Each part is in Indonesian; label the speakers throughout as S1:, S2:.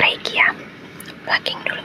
S1: Reiki ya Blacking dulu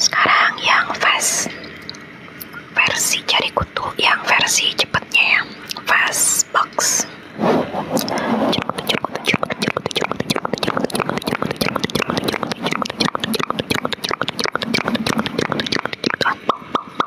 S1: Sekarang yang fast versi jari kutu, yang versi cepetnya yang fast box.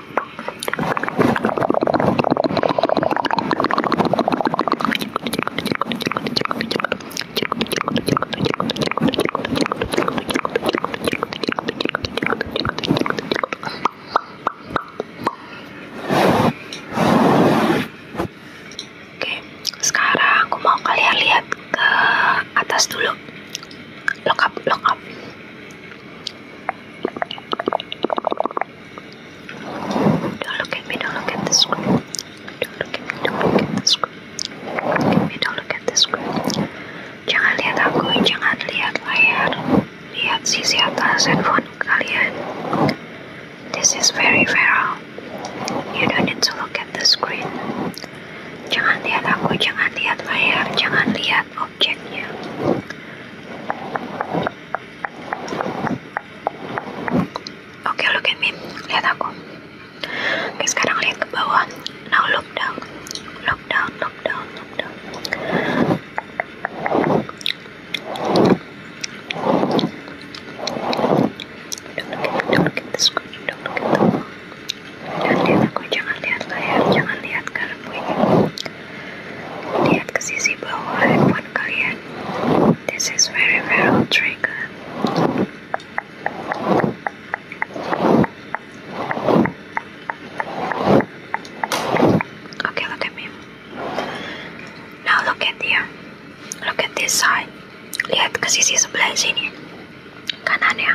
S1: Oke, sekarang aku mau kalian lihat ke atas dulu. Lock up, Don't look at me, don't look at the screen. Don't look at me, don't look at the screen. Don't look at me, don't look at the screen. Jangan lihat aku, jangan lihat layar. Lihat sisi atas handphone kalian. This is very viral. You don't need to look at the screen. Jangan lihat aku, jangan lihat layar, jangan lihat objeknya. Oke, okay, look Lihat aku. Oke, sekarang lihat ke bawah. Now look down. Look down, look down, look down. Don't look at the screen. Don't look at Jangan lihat aku, jangan lihat layar, jangan lihat karena ini. Lihat ke sisi bawah handphone kalian. This is very viral trigger. Okay, look at me. Now look at here. Look at this side. Lihat ke sisi sebelah sini. Kanannya.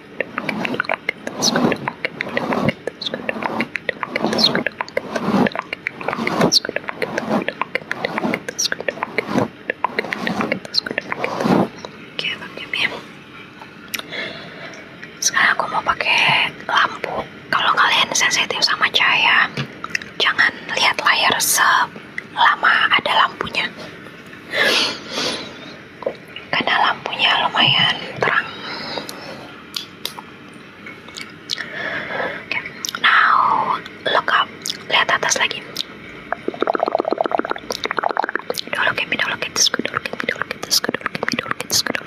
S1: Oke, ya. Sekarang aku mau pakai lampu. Kalau kalian sensitif sama cahaya, jangan lihat layar lama ada lampunya karena lampunya lumayan terang okay. look up lihat atas lagi don't look at me, don't look at this, don't look at me, don't look at this, don't look at me, don't look at this, don't look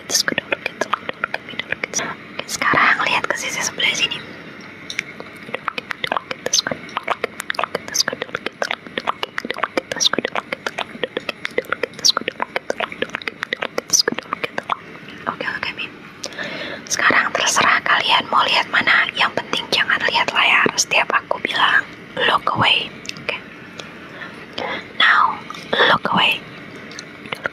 S1: sekarang lihat ke sisi sebelah sini. Sekarang terserah kalian mau lihat mana. Yang penting jangan lihat layar setiap aku bilang look away. Now, look away.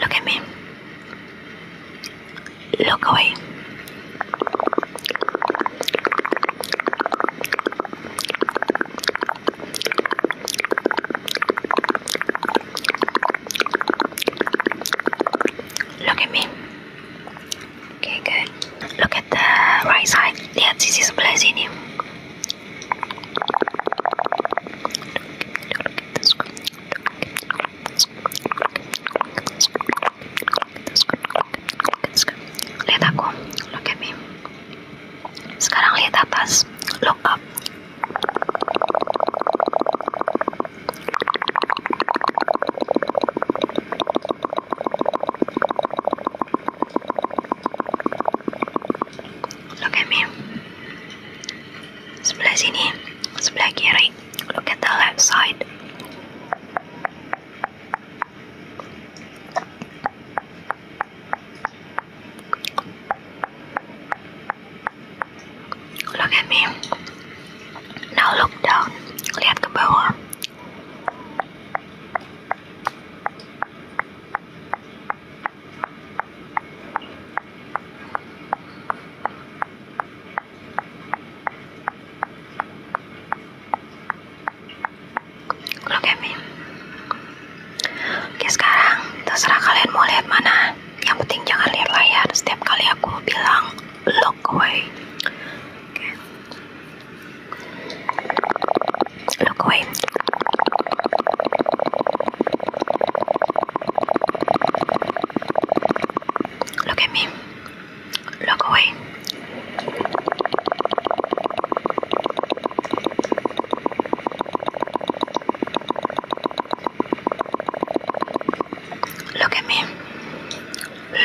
S1: Look at me. Look away. Look at me. Okay, good. Look at the right side. Yeah, this is Blazini. Lihat aku, look at me. Sekarang lihat atas, look up. Look at me. Sebelah sini, sebelah kiri. Look at the left side. Look at me. Now look down. Lihat ke bawah. Look at Oke sekarang terserah kalian mau lihat mana. Yang penting jangan lihat layar. Setiap kali aku bilang look away. Oke. Look away. Look at me. Look away. Look at me.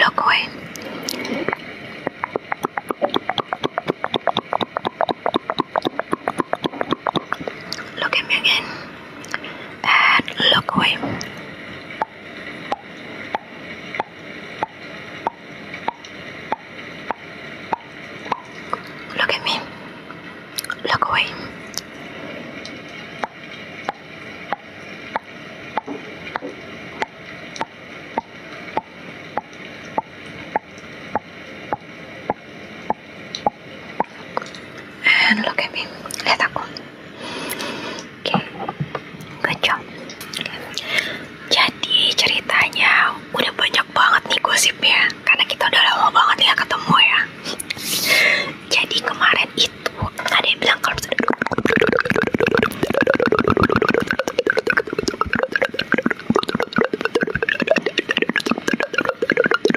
S1: Look away. Look at me again. And look away. Look at me. Look away. And look Lihat aku. Oke. Okay. Jadi ceritanya udah banyak banget nih gosipnya. Karena kita udah lama banget ya ketemu ya. Jadi kemarin itu ada yang bilang kalau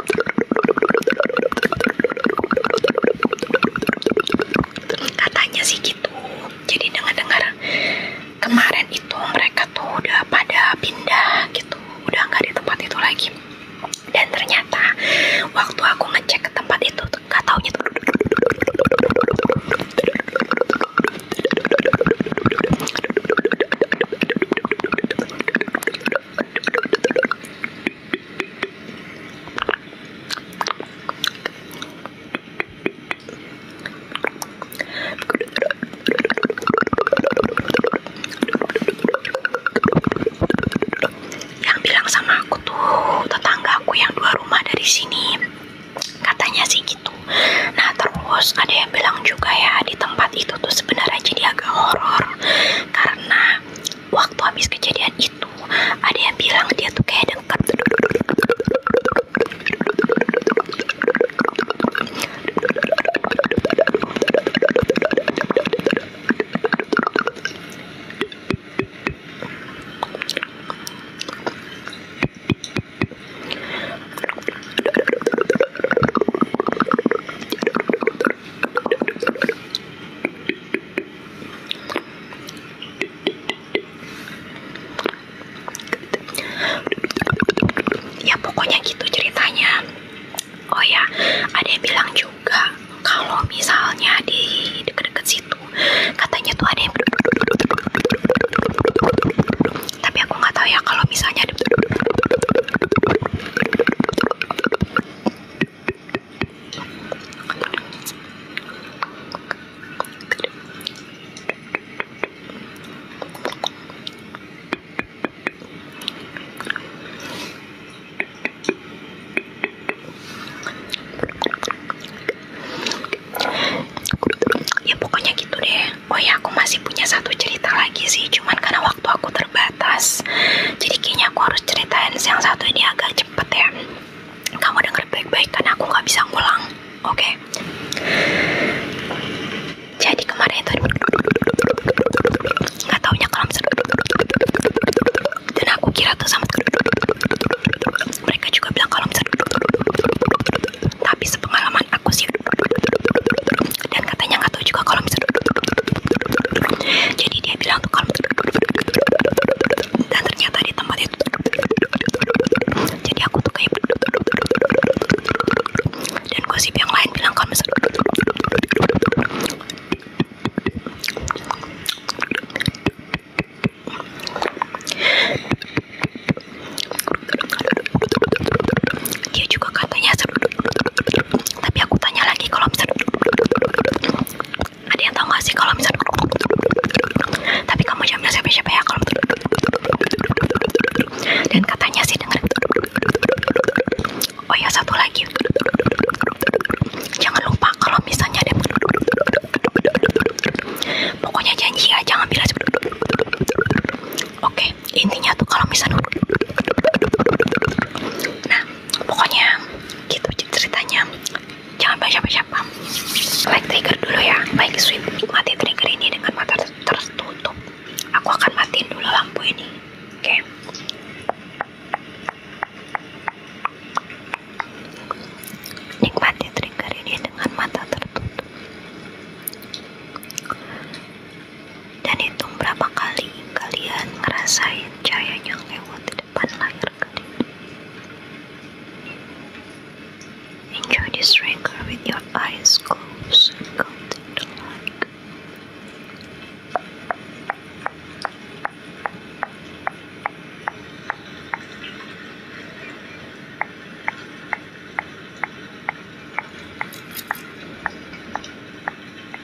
S1: katanya sih gitu jadi dengar-dengar kemarin itu mereka tuh udah pada pindah gitu udah nggak di tempat itu lagi dan ternyata waktu aku ngecek ke tempat itu nggak taunya tuh yang bilang sama aku tuh tetangga aku yang dua rumah dari sini, katanya sih gitu. Nah terus ada yang bilang juga ya di tempat itu tuh sebenarnya jadi agak horor karena waktu habis kejadian itu ada yang bilang dia tuh kayak dekat ya pokoknya gitu ceritanya oh ya ada yang bilang juga kalau misalnya di deket-deket situ katanya tuh ada yang tapi aku nggak tahu ya kalau misalnya ya pokoknya gitu deh oh ya aku masih punya satu cerita lagi sih cuman karena waktu aku terbatas terbatas jadi kayaknya aku harus ceritain yang satu ini agak cepet ya kamu denger baik-baik karena aku nggak bisa ngulang oke okay? jadi kemarin itu nggak taunya kalau dan aku kira tuh sama mereka juga bilang kalau tapi sepengalaman aku sih dan katanya nggak jadi dia bilang tuh kalau dan ternyata di tempat itu jadi aku tuh kayak dan gosip yang lain bilang kalau misalnya dia juga katanya tapi aku tanya lagi kalau misalnya ada yang tahu gak sih kalau misalnya tapi kamu jamnya siapa-siapa ya kalau dan katanya sih denger oh ya satu lagi jangan lupa kalau misalnya pokoknya janji ya jangan bilang oke intinya tuh kalau misalnya nah pokoknya gitu ceritanya jangan baca siapa-siapa like trigger dulu ya baik sweet mati trigger ini dengan mata tertutup aku akan matiin dulu lampu ini oke okay. nikmati trigger ini dengan mata tertutup dan hitung berapa kali kalian ngerasain cahaya yang lewat di depan layar kalian. Enjoy this record with your eyes closed and counting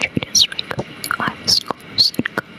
S1: Traders recommend high scores and content.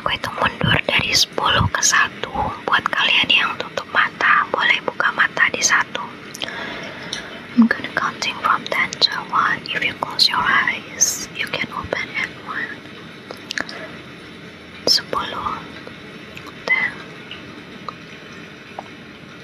S1: Aku hitung mundur dari 10 ke 1 Buat kalian yang tutup mata Boleh buka mata di satu I'm gonna counting from 10 to 1 If you close your eyes You can open at 1 10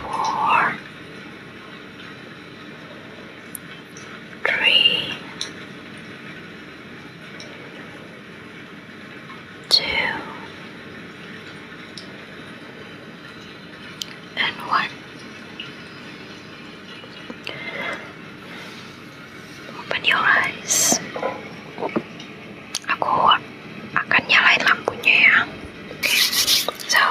S1: four, three, two, and one. Open your eyes. aku akan nyalain lampunya ya oke okay. so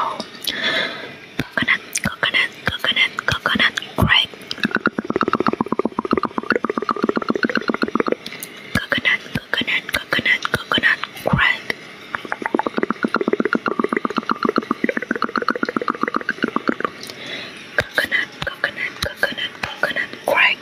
S1: coconut coconut coconut coconut grape coconut coconut coconut coconut grape coconut coconut coconut coconut grape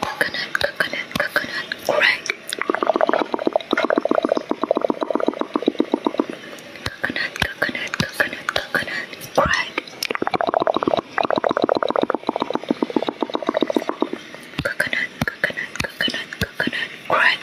S1: coconut, coconut, coconut, coconut, crack. Coconut, coconut, coconut, coconut, crack. Coconut, coconut, coconut, coconut, crack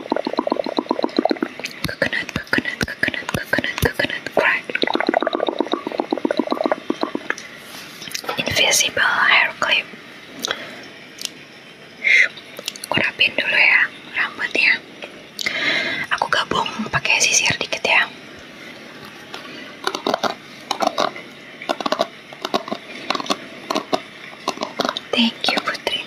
S1: coconut, coconut, coconut, coconut, coconut grind. Invisible hair clip. Kurapin dulu ya rambutnya. Aku gabung pakai sisir dikit ya. Thank you, Putri.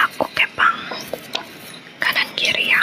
S1: Aku kepang kanan kiri ya.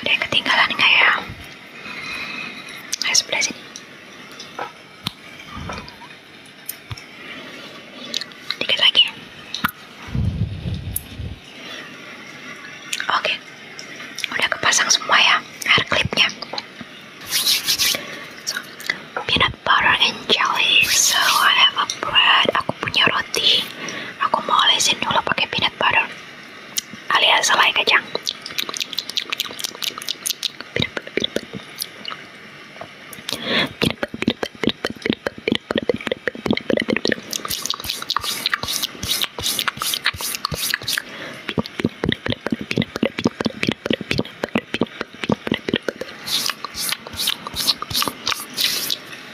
S1: ada ketinggalan nggak ya ayo sebelah sini lagi oke udah kepasang semua ya hair clipnya so, peanut butter and jelly so I have a bread aku punya roti aku mau olesin dulu pakai peanut butter alias selai kacang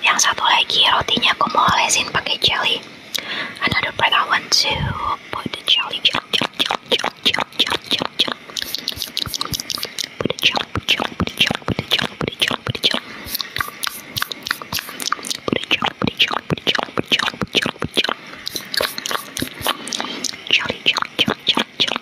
S1: yang satu lagi rotinya aku mau lesin pakai jelly. Another bread I want to put the jelly, jelly, jelly, jelly, jelly, jelly, jelly, jelly. Put the jelly, put the jelly, put the jelly, put the jelly, put the jelly, put the jelly. Put the jelly, put the jelly, put the jelly, put the jelly, put the jelly, put the jelly. Jelly, jelly, jelly, jelly, jelly.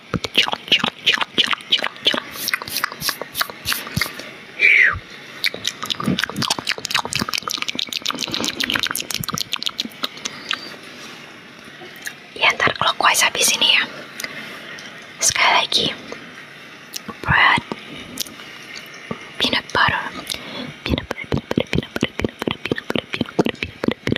S1: Ya ntar kalau kuas habis ini ya Sekali lagi Bread Peanut butter Peanut butter Peanut butter Peanut butter Peanut butter Peanut butter Peanut butter and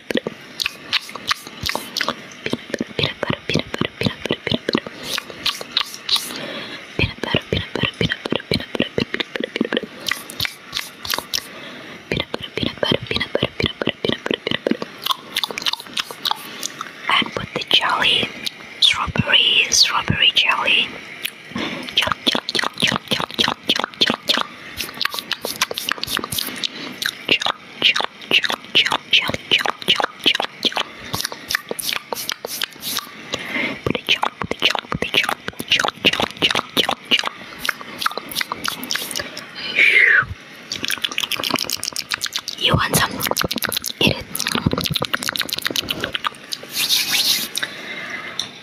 S1: put the jelly, strawberry, strawberry jelly. Jelly, jelly, jelly, jelly, jelly, jelly, jelly, jelly, jelly, jelly, you want some? Get it.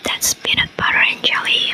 S1: That's peanut butter and jelly.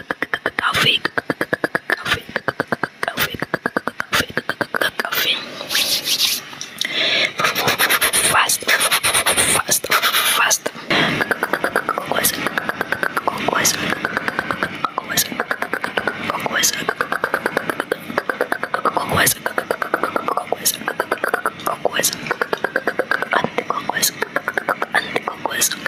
S1: coffee, coffee, coffee, coffee, fast, fast, fast. Always, always, always, always, always, always, always, and always, and always.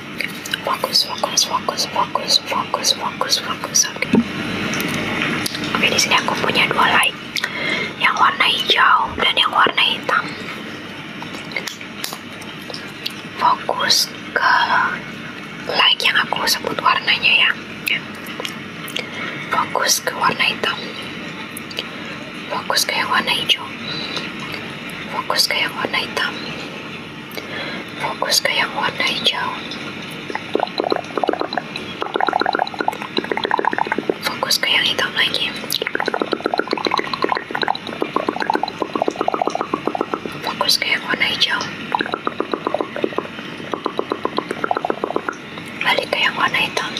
S1: fokus fokus fokus fokus fokus fokus fokus oke
S2: okay. di sini aku punya dua
S1: light yang warna hijau dan yang warna hitam fokus ke light yang aku sebut warnanya ya fokus ke warna hitam fokus ke yang warna hijau fokus ke yang warna hitam fokus ke yang warna hijau fokus ke yang hitam lagi fokus ke yang warna hijau balik ke yang warna hitam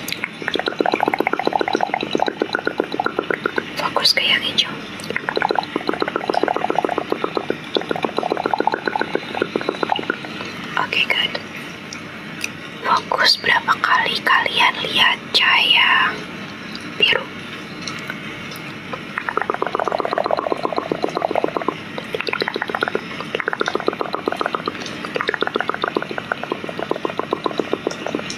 S1: fokus ke yang hijau Oke, good. Fokus berapa kali kalian lihat cahaya biru? Oke,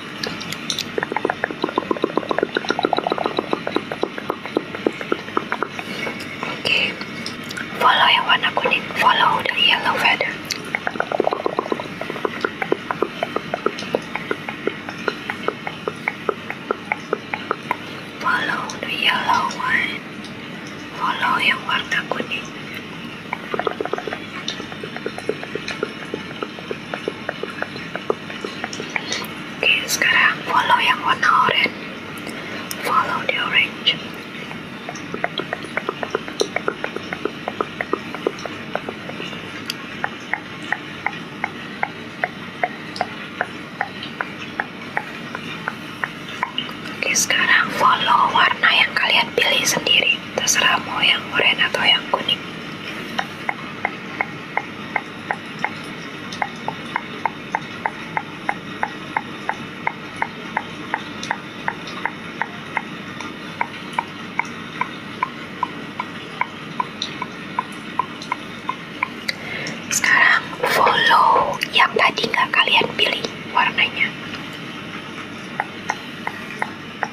S1: Oke, follow yang warna kuning, follow the yellow feather. Follow the yellow one, follow yang warna kuning. Oke, sekarang follow yang warna oranye. Follow the orange. Oke, sekarang follow warna yang kalian pilih sendiri. Terserah mau yang oranye atau yang kuning. Sekarang follow yang tadi nggak kalian pilih warnanya.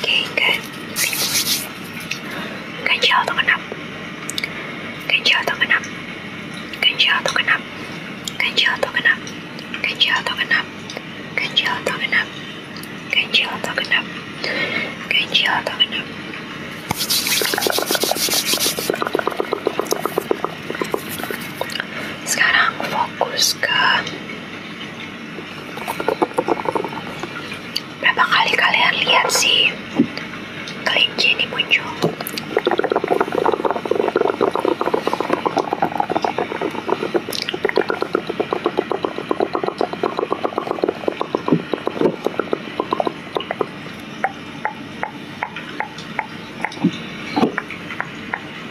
S1: Oke, okay, ganjil atau genap, ganjil atau genap, ganjil atau genap, ganjil atau genap, ganjil atau genap, ganjil atau genap, ganjil atau genap, ganjil atau genap. Sekarang fokus ke berapa kali kalian lihat sih kelinci ini muncul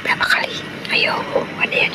S1: berapa kali ayo ada yang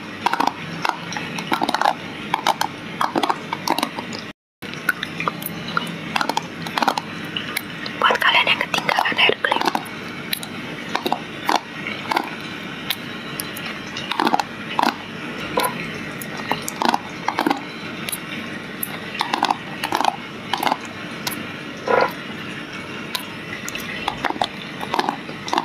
S1: buat kalian yang ketinggalan air krim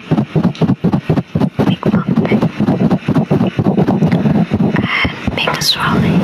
S1: big book and big trolley.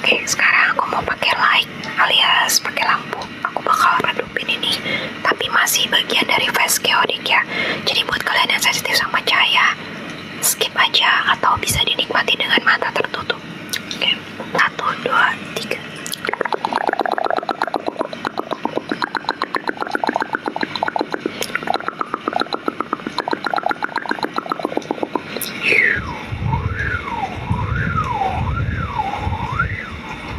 S1: Oke, sekarang aku mau pakai light alias pakai lampu aku bakal redupin ini tapi masih bagian dari face chaotic ya jadi buat kalian yang sensitif sama cahaya skip aja atau bisa dinikmati dengan mata tertutup oke, satu, dua, tiga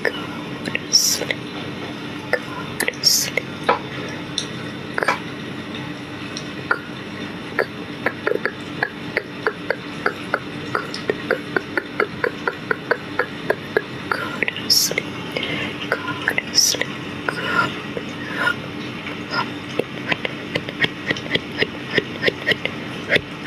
S1: sleep, sleep. Good sleep, good sleep, good sleep.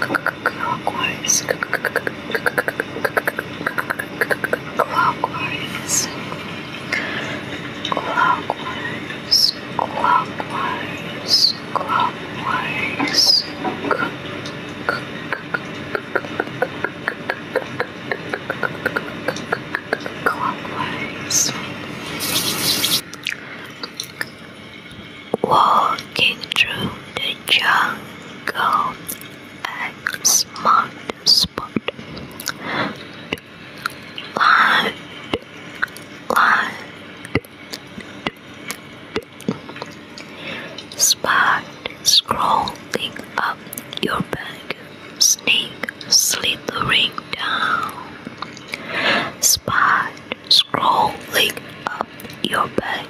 S1: Clockwise. Clockwise. Clockwise. Clockwise. Clockwise. Clockwise clockwise. Walking through the jungle at smart spot. Land, spot Scrolling up your back, snake slithering down. Spider scrolling up your back,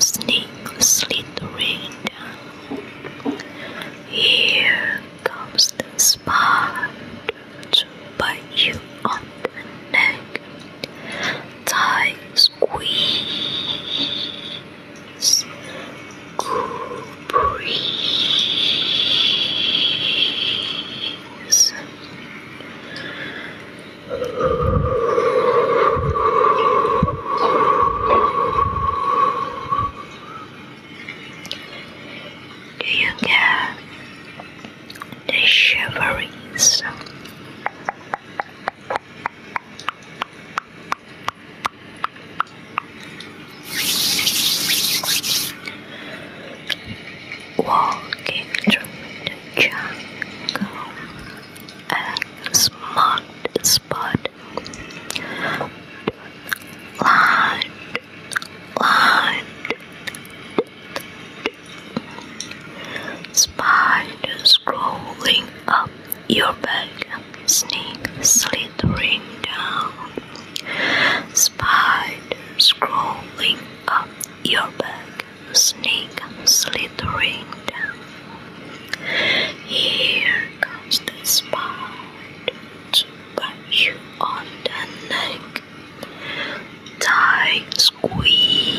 S1: snake slithering down. Here comes the spider to bite you on the neck. Tie squeeze. School breeze. Do you get the shiverings? Walking through the jungle, a smart spot. Land, land. Spiders crawling up your back, snake slithering down, spiders scrolling up your back, snake slithering down.
S2: Here
S1: comes the spider to bite you on the neck. Tight squeeze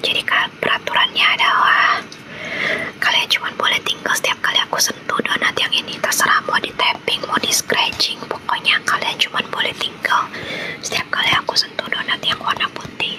S1: Jadi peraturannya adalah kalian cuma boleh tinggal setiap kali aku sentuh donat yang ini terserah mau di tapping mau di scratching pokoknya kalian cuma boleh tinggal setiap kali aku sentuh donat yang warna putih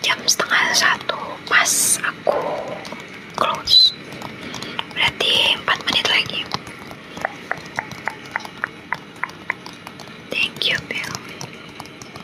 S1: Jam setengah satu pas aku close. Berarti empat menit lagi. Thank you, Bill.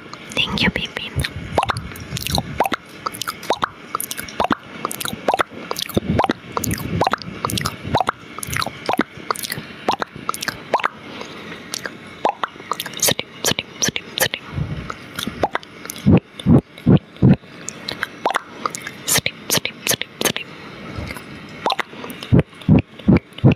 S1: Thank you, baby. Sleep, sleep, sleep, sleep. Sleep, sleep, sleep, sleep.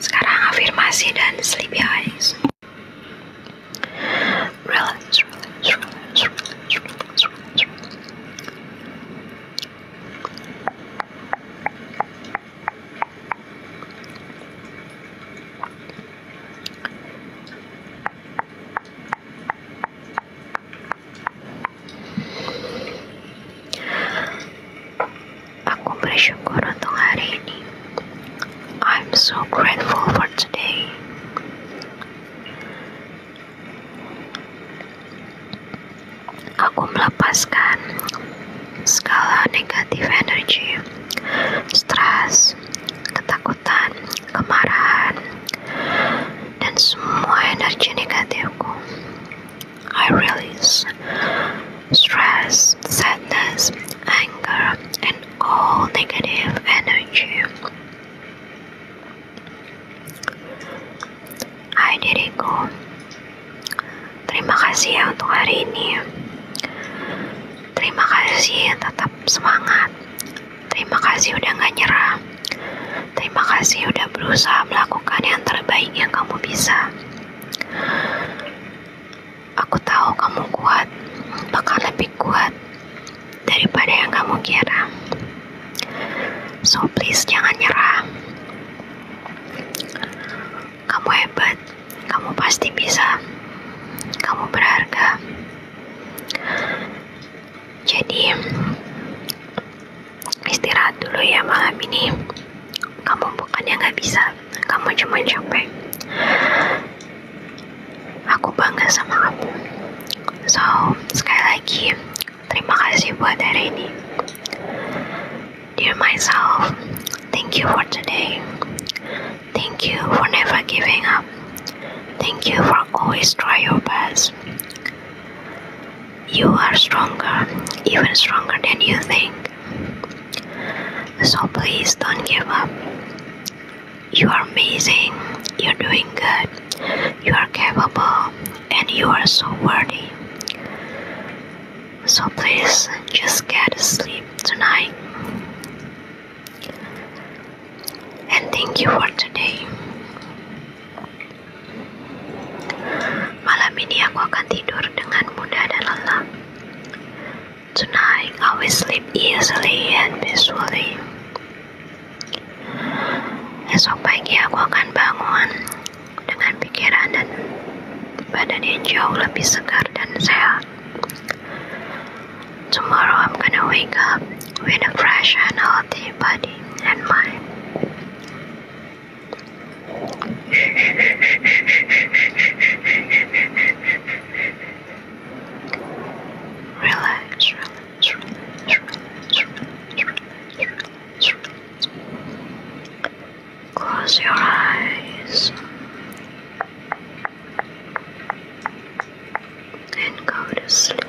S1: Sekarang afirmasi dan sleepy eyes. Relax, Aku bersyukur untuk hari ini. I'm so grateful for today. Aku melepaskan segala negatif energi, stres, ketakutan, kemarahan, dan semua energi negatifku. I release stress, sadness, anger, and all negative energy. I diriku, terima kasih ya untuk hari ini. Terima kasih, tetap semangat. Terima kasih udah gak nyerah. Terima kasih udah berusaha melakukan yang terbaik yang kamu bisa. Aku tahu kamu kuat, bahkan lebih kuat daripada yang kamu kira. So please jangan nyerah. Kamu hebat, kamu pasti bisa. Kamu berharga. Jadi, istirahat dulu ya malam ini kamu bukannya nggak bisa kamu cuma capek aku bangga sama kamu so sekali lagi terima kasih buat hari ini dear myself thank you for today thank you for never giving up thank you for always try your best you are stronger even stronger than you think So please don't give up. You are amazing, you're doing good, you are capable, and you are so worthy. So please just get sleep tonight. And thank you for today. Malam ini aku akan tidur dengan mudah dan lelap. Tonight I will sleep easily and peacefully. Esok pagi aku akan bangun dengan pikiran dan badan yang jauh lebih segar dan sehat. Tomorrow I'm gonna wake up with a fresh and healthy body and mind. Relax, relax, relax, relax, relax, relax, relax. Close your eyes and go to sleep.